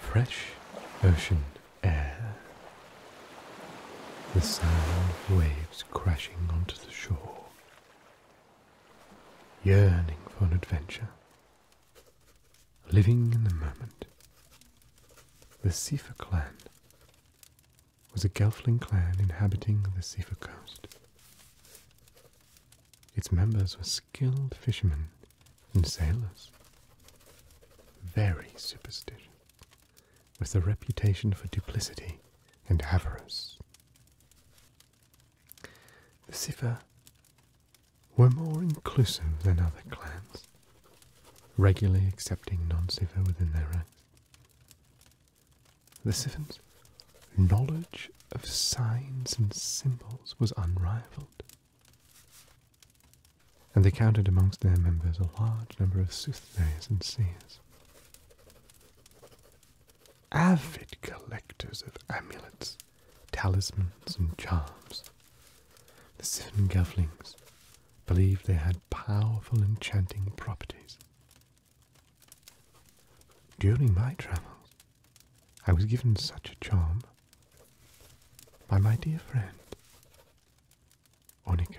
Fresh ocean air. The sound of waves crashing onto the shore. Yearning for an adventure. Living in the moment. The Sifa clan was a Gelfling clan inhabiting the Sifa coast. Its members were skilled fishermen and sailors, very superstitious, with a reputation for duplicity and avarice. The Sifa were more inclusive than other clans, regularly accepting non Sifa within their ranks. The Siffin's knowledge of signs and symbols was unrivaled, and they counted amongst their members a large number of soothsayers and seers. Avid collectors of amulets, talismans, and charms, the Siffin Gelflings believed they had powerful enchanting properties. During my travels, I was given such a charm by my dear friend, Onika.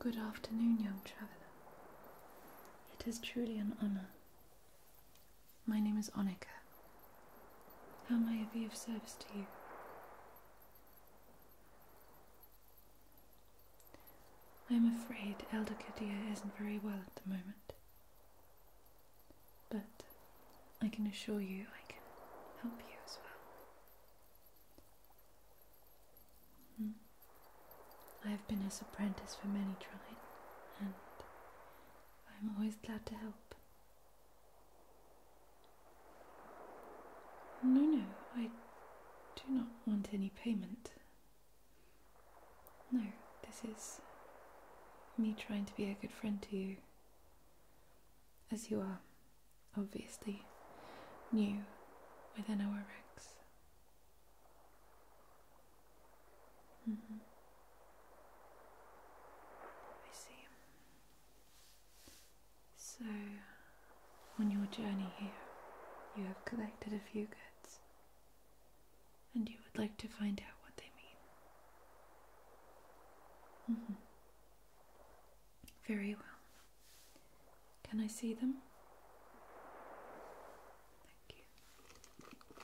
Good afternoon, young traveller. It is truly an honour. My name is Onika. How may I be of service to you? I am afraid Elder Kadir isn't very well at the moment, but I can assure you I can help you as well. Hmm. I have been his apprentice for many trine, and I am always glad to help. No, no, I do not want any payment. No, this is me trying to be a good friend to you. As you are obviously new within our ranks. Mm -hmm. see. So, on your journey here, you have collected a few goods, and you would like to find out what they mean. Mm-hmm. Very well. Can I see them? Thank you.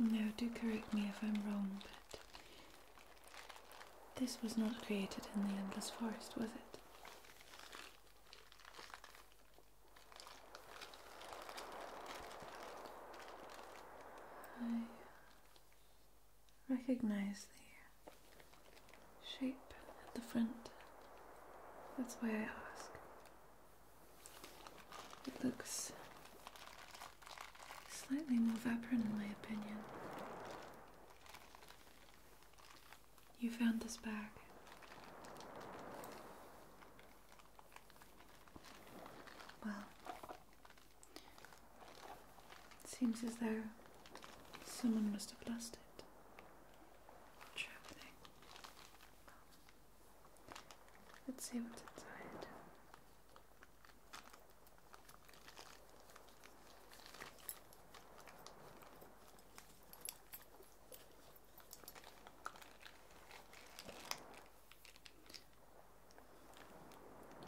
Now, do correct me if I'm wrong, but this was not created in the Endless Forest, was it? I recognize the shape at the front. That's why I ask. It looks slightly more vibrant in my opinion. You found this bag. Well, it seems as though someone must have lost it. Let's see what's inside.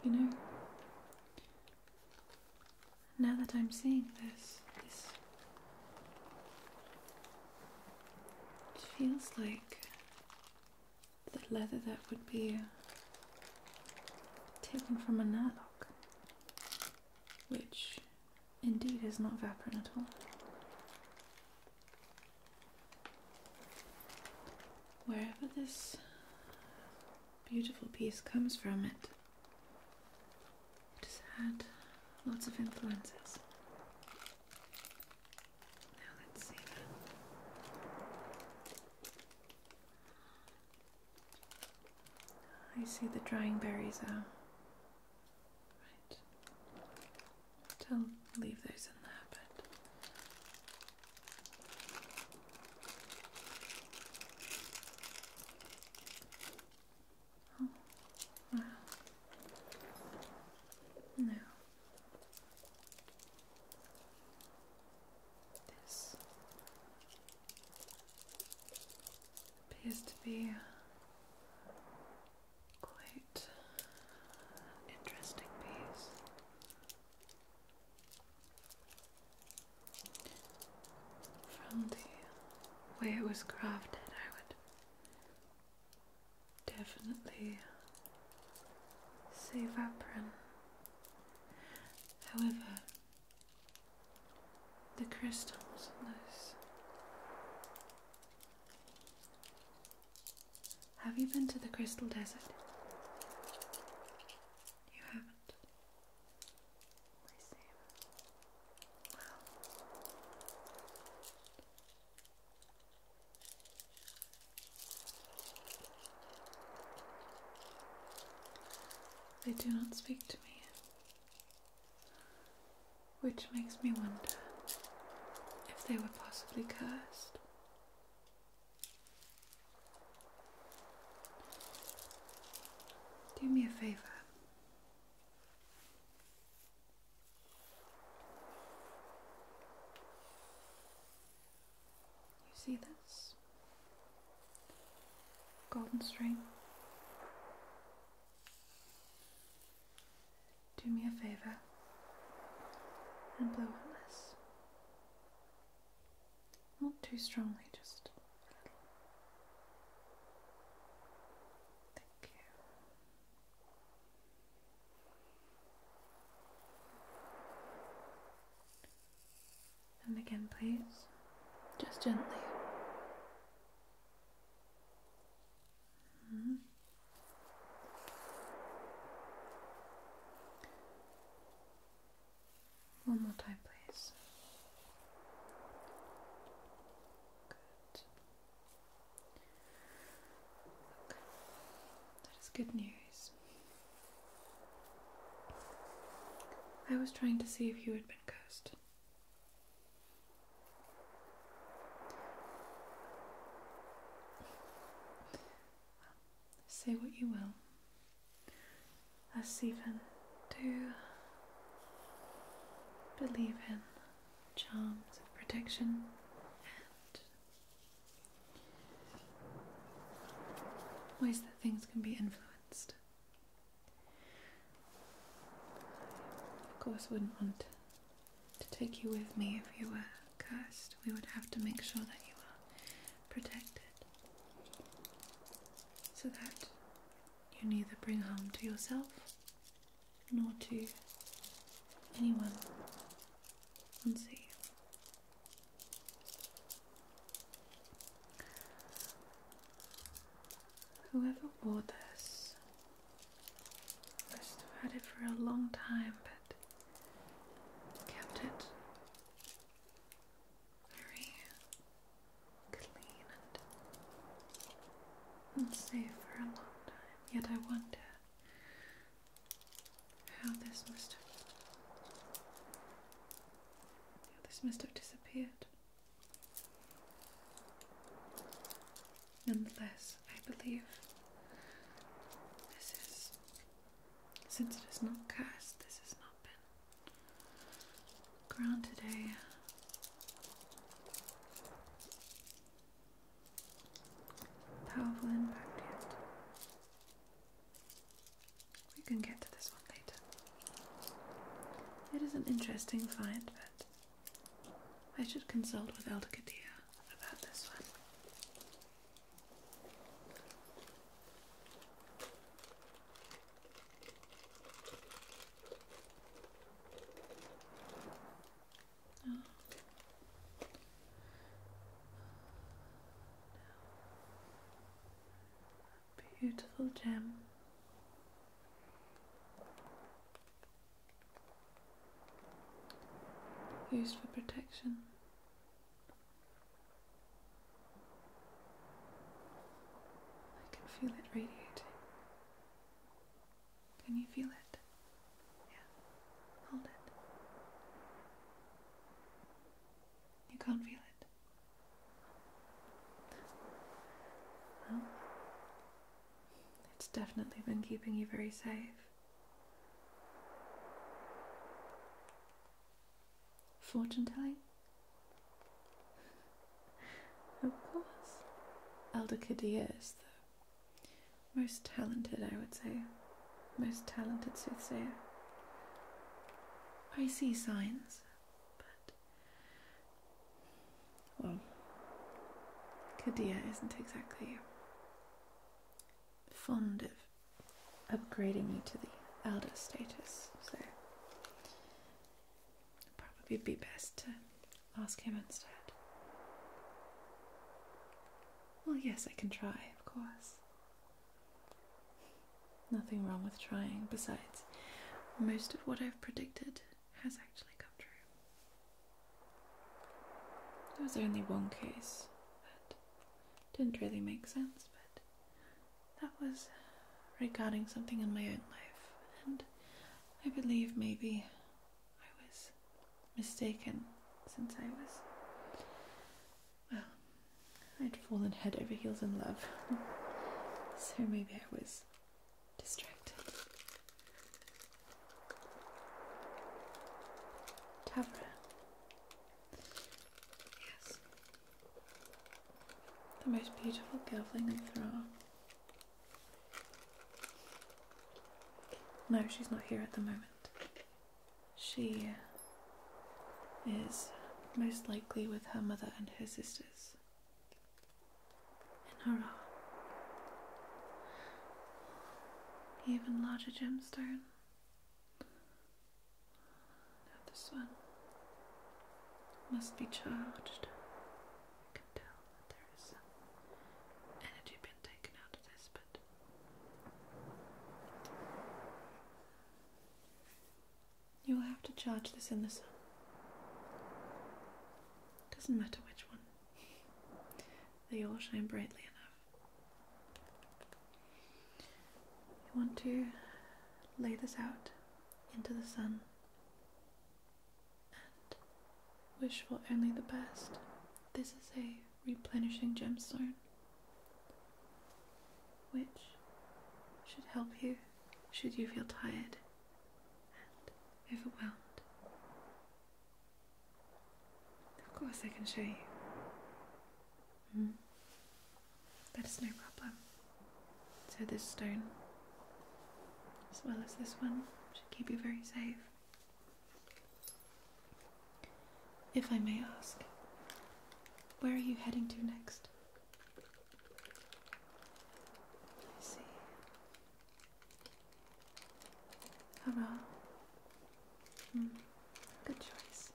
You know, now that I'm seeing this, this it feels like the leather that would be taken from a Nurloc, which indeed is not Vaporin at all. Wherever this beautiful piece comes from, it, has had lots of influences. Now let's see. I see the drying berries are Right. I'll leave those in there, but. Oh, no. This appears to be quite interesting piece. From the way it was crafted, I would definitely save Vaprin. However, the crystals in this have you been to the Crystal Desert? You haven't. I see. Well. They do not speak to me. Which makes me wonder if they were possibly cursed. Do me a favour. You see this? Golden string. Do me a favour and blow on this. Not too strongly, just a little. Thank you. And again, please, just gently. Mm-hmm. One more time, please. Good. That is good news. I was trying to see if you had been cursed say what you will. us even do believe in charms of protection and ways that things can be influenced. Of course, wouldn't want to take you with me if you were cursed. We would have to make sure that you are protected so that you neither bring harm to yourself nor to anyone once you. Whoever wore this must have had it for a long time, but kept it very clean and, safe for a long time. Yet I wonder how this must have disappeared. Nonetheless, I believe this is, since it is not cast, this has not been ground today. powerful impact We can get to this one later. It is an interesting find, but I should consult with Elder Kadir about this one. Oh. Beautiful gem used for protection. I can feel it radiating. Can you feel it? Yeah, hold it. You can't feel it. Well, it's definitely been keeping you very safe. Fortune telling? of course. Elder Kadia is the most talented, I would say. Most talented soothsayer. I see signs, but well, Kadia isn't exactly fond of upgrading me to the elder status, so it'd probably be best to ask him instead. Well, yes, I can try, of course. Nothing wrong with trying, besides, most of what I've predicted has actually come true. There was only one case that didn't really make sense, but that was regarding something in my own life, and I believe maybe I was mistaken since I was. Well, I'd fallen head over heels in love, so maybe I was distracted. Tavra. Yes. The most beautiful girling in Thra. No, she's not here at the moment. She is most likely with her mother and her sisters in a Even larger gemstone. Now this one must be charged. I can tell that there is energy being taken out of this, but you will have to charge this in the sun. Doesn't matter which one they all shine brightly enough. You want to lay this out into the sun and wish for only the best. This is a replenishing gemstone which should help you should you feel tired and overwhelmed. Of course, I can show you. Hmm. That is no problem. So, this stone, as well as this one, should keep you very safe. If I may ask, where are you heading to next? I see. How about? Hmm, good choice.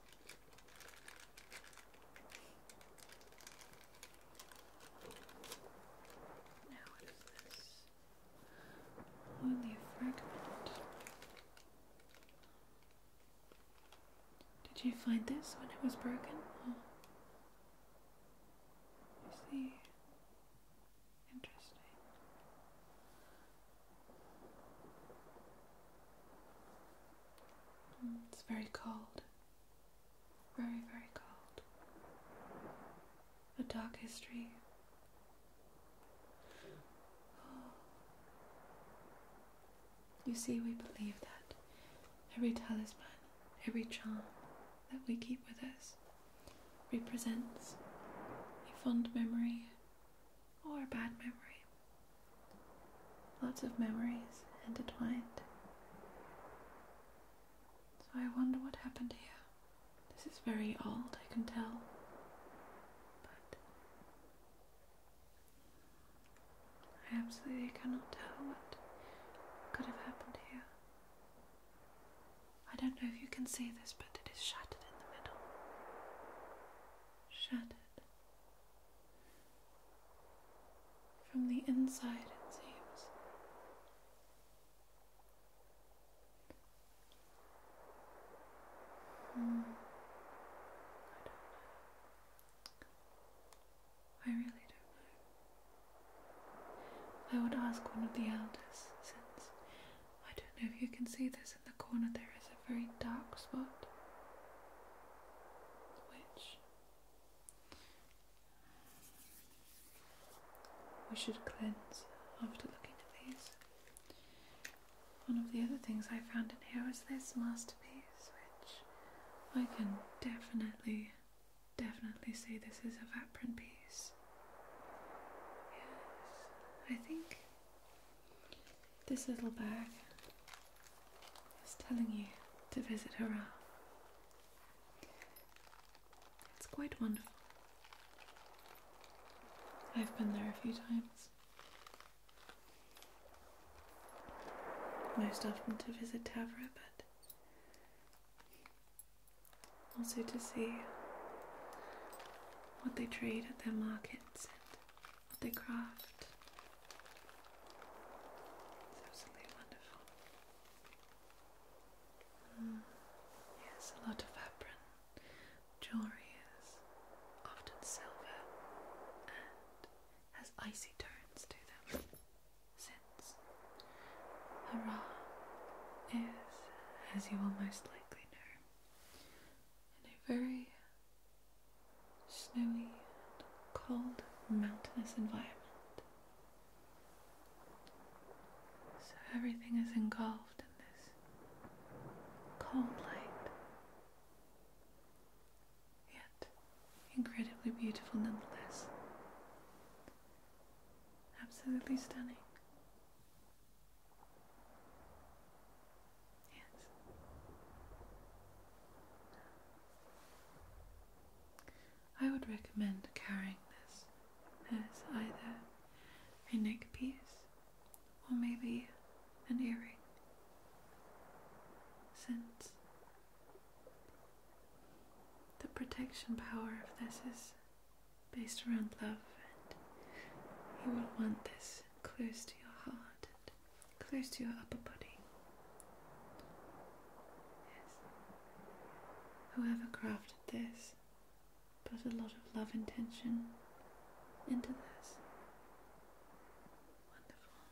Now, what is this? Only a fragment. Did you find this when it was broken? I see. Interesting. Hmm, it's very cold. Very, very cold. A dark history. You see, we believe that every talisman, every charm, that we keep with us represents a fond memory or a bad memory. Lots of memories intertwined. So I wonder what happened here. This is very old, I can tell. But I absolutely cannot tell what could have happened here. I don't know if you can see this, but it is shattered in the middle. Shattered. From the inside, it seems. Hmm. I don't know. I really don't know. I would ask one of the elders, since I don't know if you can see this in the corner, there is a very dark spot which we should cleanse after looking at these. One of the other things I found in here was this masterpiece, which I can definitely, definitely say this is a Vaprin piece. I think this little bag is telling you to visit Hurrah. It's quite wonderful. I've been there a few times. Most often to visit Tavra, but also to see what they trade at their markets and what they craft. absolutely wonderful. Mm. Yes, a lot of apron jewelry is often silver and has icy tones to them, since Hurrah is, as you will most likely know, in a very snowy and cold mountainous environment. So everything is engulfed in this cold light, yet incredibly beautiful nonetheless. Absolutely stunning. I would recommend carrying this as either a neck or maybe an earring, since the protection power of this is based around love, and you will want this close to your heart and close to your upper body. Yes. Whoever crafted this put a lot of love intention into this. Wonderful.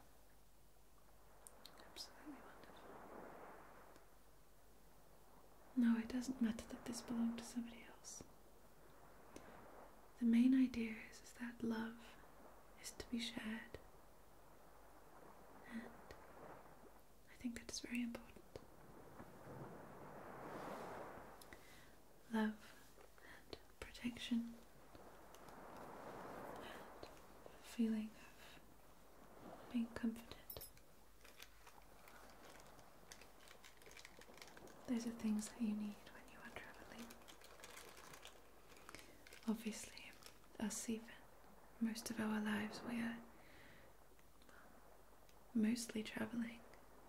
Absolutely wonderful. No, it doesn't matter that this belonged to somebody else. The main idea is, that love is to be shared. And I think that is very important. Love and protection and feeling of being confident. Those are things that you need when you are travelling. Obviously, us even, most of our lives we are mostly travelling.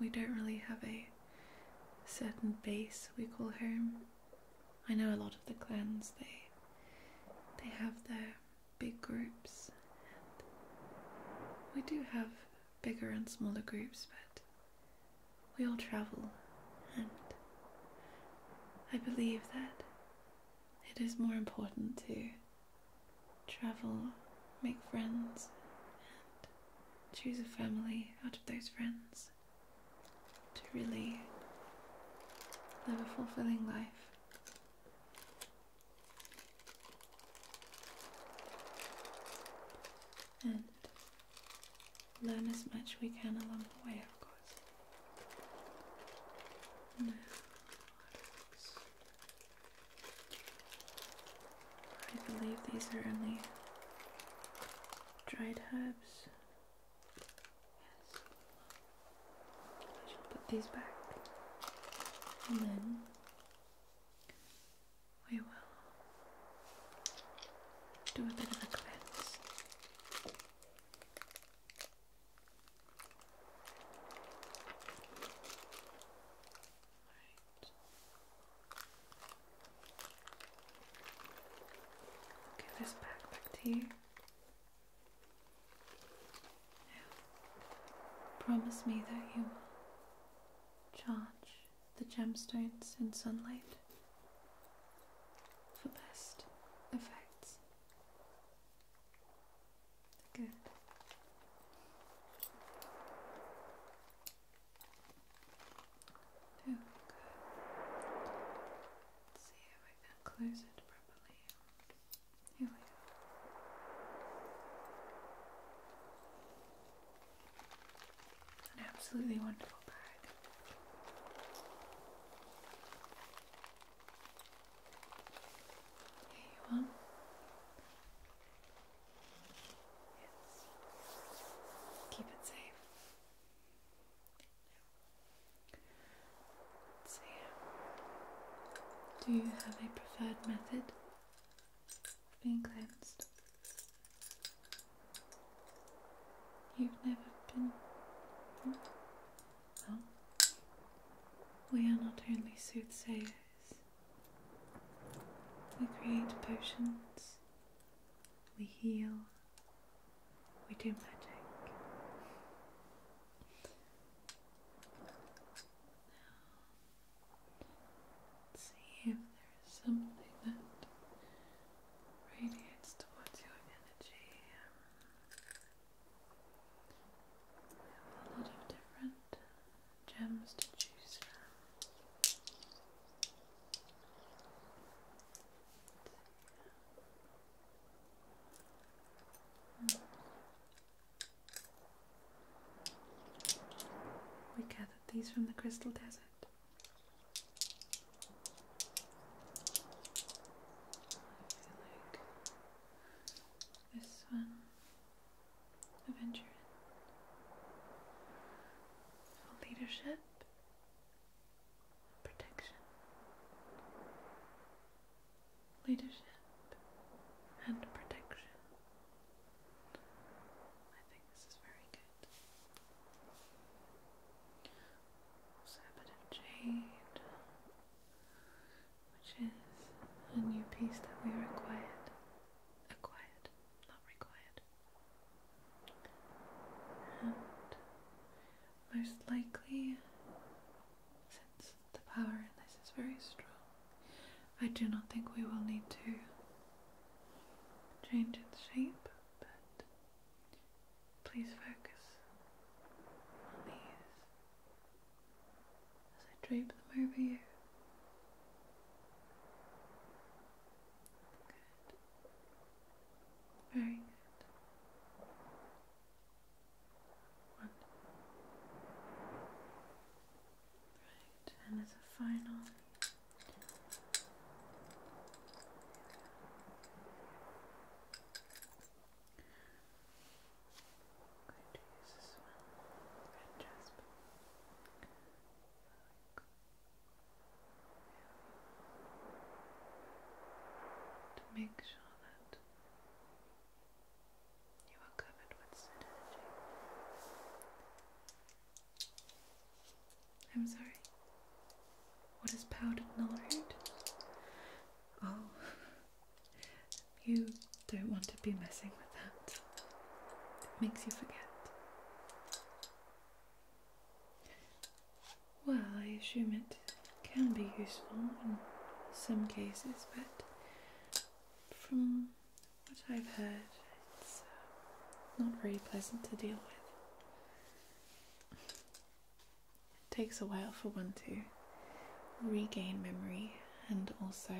We don't really have a certain base we call home. I know a lot of the clans they they have their big groups. we do have bigger and smaller groups, but we all travel, and I believe that it is more important to travel, make friends, and choose a family out of those friends to really live a fulfilling life and learn as much we can along the way, of course. I believe these are only dried herbs. Yes. I should put these back. And then we will do a bit of a cleanse. Right. give this back back to you promise me that you will charge the gemstones in sunlight for best effects. Good. Oh, good. Let's see if I can close it properly an absolutely wonderful bag. Here you are. Yes. Keep it safe. Do you have a preferred method? being cleansed. You've never been. Well, we are not only soothsayers, we create potions, we heal, we do magic. Let's see if there's something that radiates towards your energy. Um, we have a lot of different gems to choose from. We gathered these from the crystal desert. this one, Aventurin, leadership, protection, leadership and protection. I think this is very good. Also a bit of jade, which is a new piece that we required. Acquired, not required. most likely, the power in this is very strong. I do not think we will need to change its shape, but please focus on these as I drape them over you. Good. Very good. One. and as a final. I'm going to use this one, red jasper. To make sure that you are covered with synergy. I'm sorry. What is powdered null Oh, you don't want to be messing with that. It makes you forget. Well, I assume it can be useful in some cases, but from what I've heard, it's uh, not very pleasant to deal with. It takes a while for one to regain memory, and also,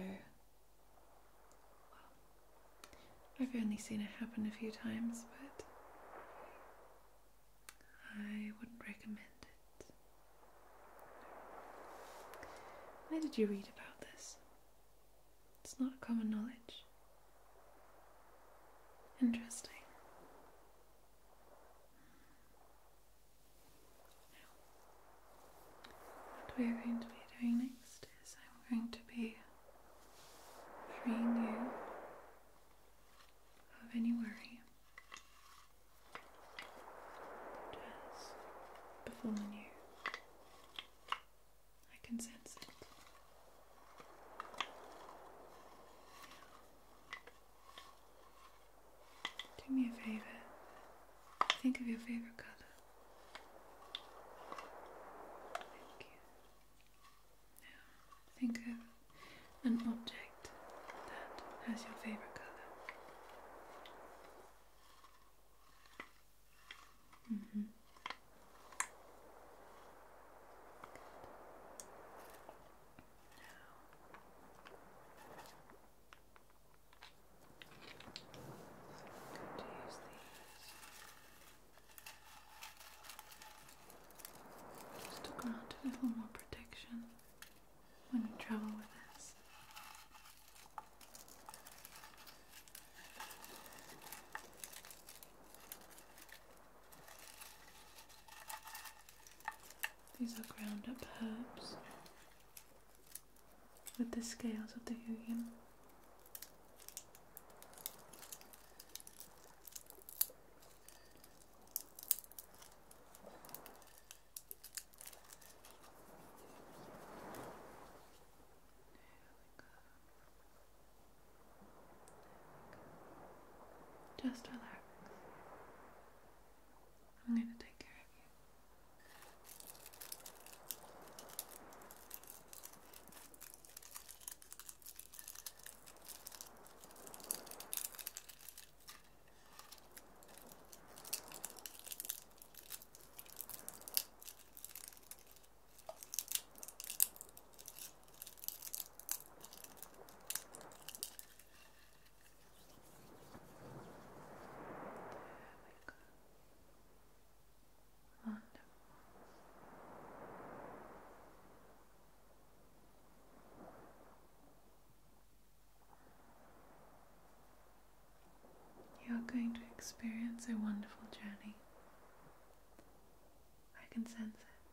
I've only seen it happen a few times, but I wouldn't recommend it. Where did you read about this? It's not common knowledge. Interesting. what we're going to be doing next is I'm going to be freeing you of any worry just befallen you. I can sense it. Do me a favor. Think of your favorite color. Thank you. Now, think of an object that has your favorite color. Mm -hmm. just to grant a little more protection when you travel with us. These are ground up herbs with the scales of the Hugin. Just relax. I'm going to take care of you. There we go. Wonderful. Good. You're going to experience a wonderful journey. I can sense it.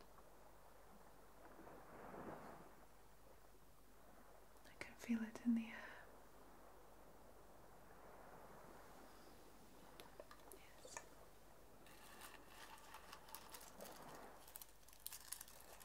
I can feel it in the air. Yes.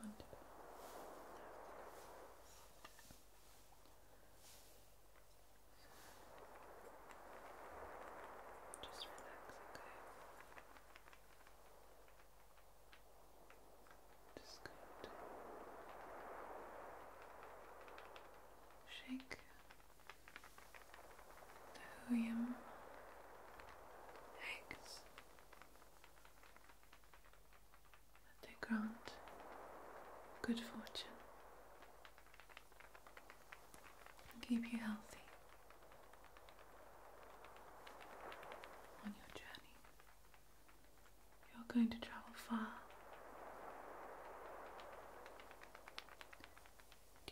Wonderful. Just relax, okay? Just going to shake William eggs that they grant good fortune and keep you healthy on your journey. You're going to travel far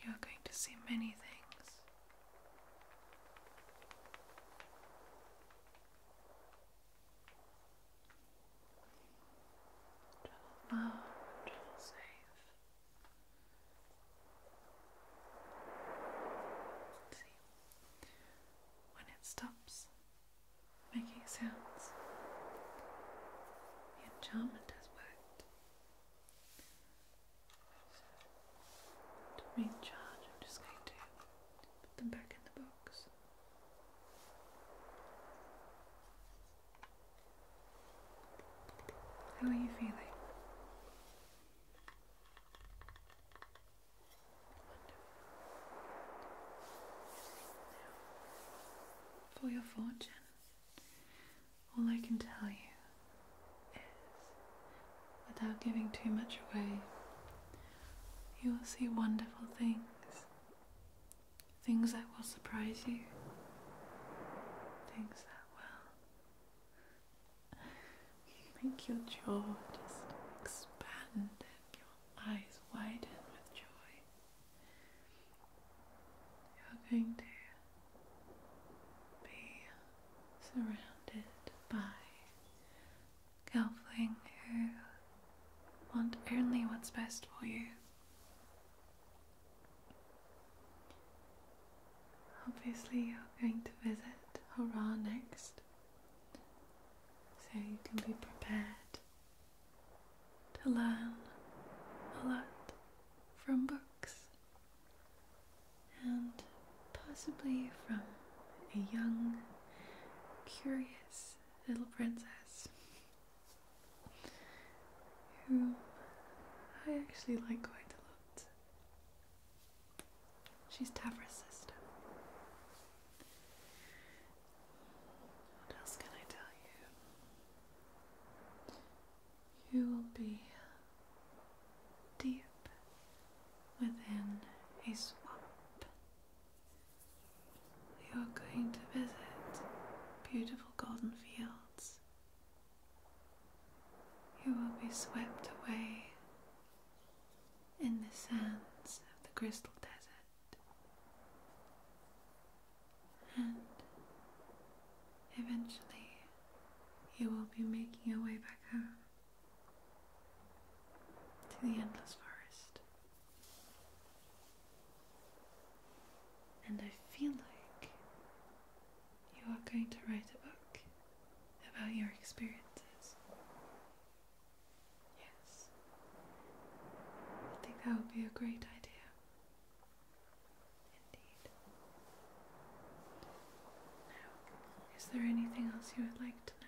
you are going to see many things. Travel far and travel See, when it stops, making sounds. The enchantment has worked. To recharge, I'm just going to put them back in the box. How are you feeling? for your fortune. All I can tell you is, without giving too much away, you will see wonderful things. Things that will surprise you. Things that will make your jaw just expand and your eyes widen with joy. You're going to be surrounded by Gelfling who want only what's best for you. Obviously, you're going to visit Hurrah next, so you can be prepared to learn a lot from books and possibly from a young, curious little princess who I actually like quite a lot. She's Tavra's sister. What else can I tell you? You will be deep within a swamp. You're going to visit beautiful golden fields. You will be swept away in the sands of the crystal desert. And eventually you will be making your way back home to the endless forest. And I feel like you are going to write a book about your experiences. Yes. I think that would be a great idea is there anything else you would like to know?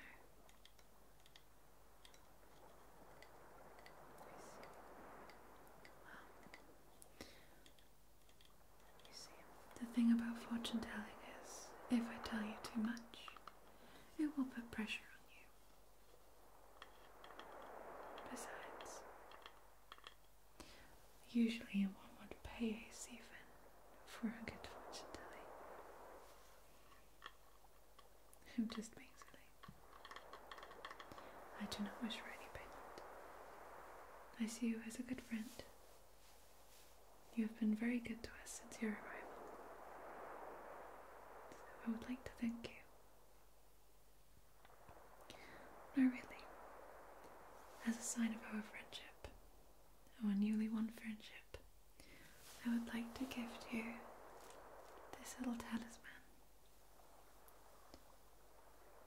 the thing about fortune telling is if I tell you too much, it will put pressure on you. Besides, usually one would pay a siphon for a good fortune telling. I'm just basically. I do not wish for any payment. I see you as a good friend. You have been very good to us since your arrival. So I would like to thank you no, really. As a sign of our friendship, our newly won friendship, I would like to gift you this little talisman.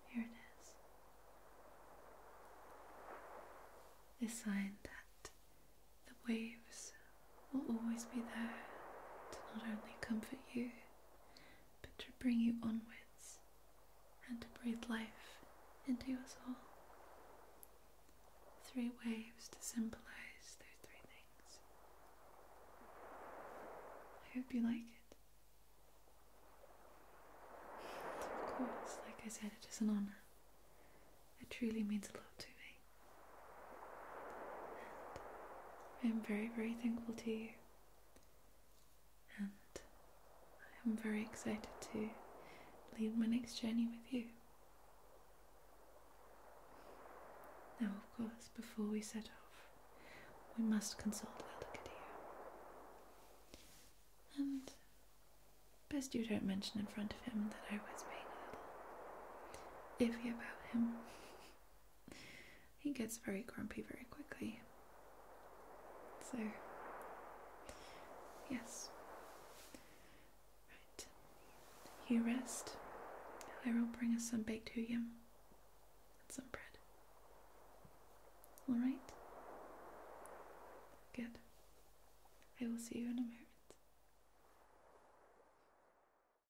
Here it is. A sign that the waves will always be there to not only comfort you, but to bring you onwards and to breathe life into your soul. Three waves to symbolize those three things. I hope you like it. Of course, like I said, it is an honour. It truly means a lot to me. I'm very, very thankful to you. And I'm very excited to lead my next journey with you. Now, of course, before we set off, we must consult Valakadir. And best you don't mention in front of him that I was being a little iffy about him he gets very grumpy very quickly. So, yes. Right. You rest. I will bring us some baked huyam and some bread. Alright? Good. I will see you in a moment.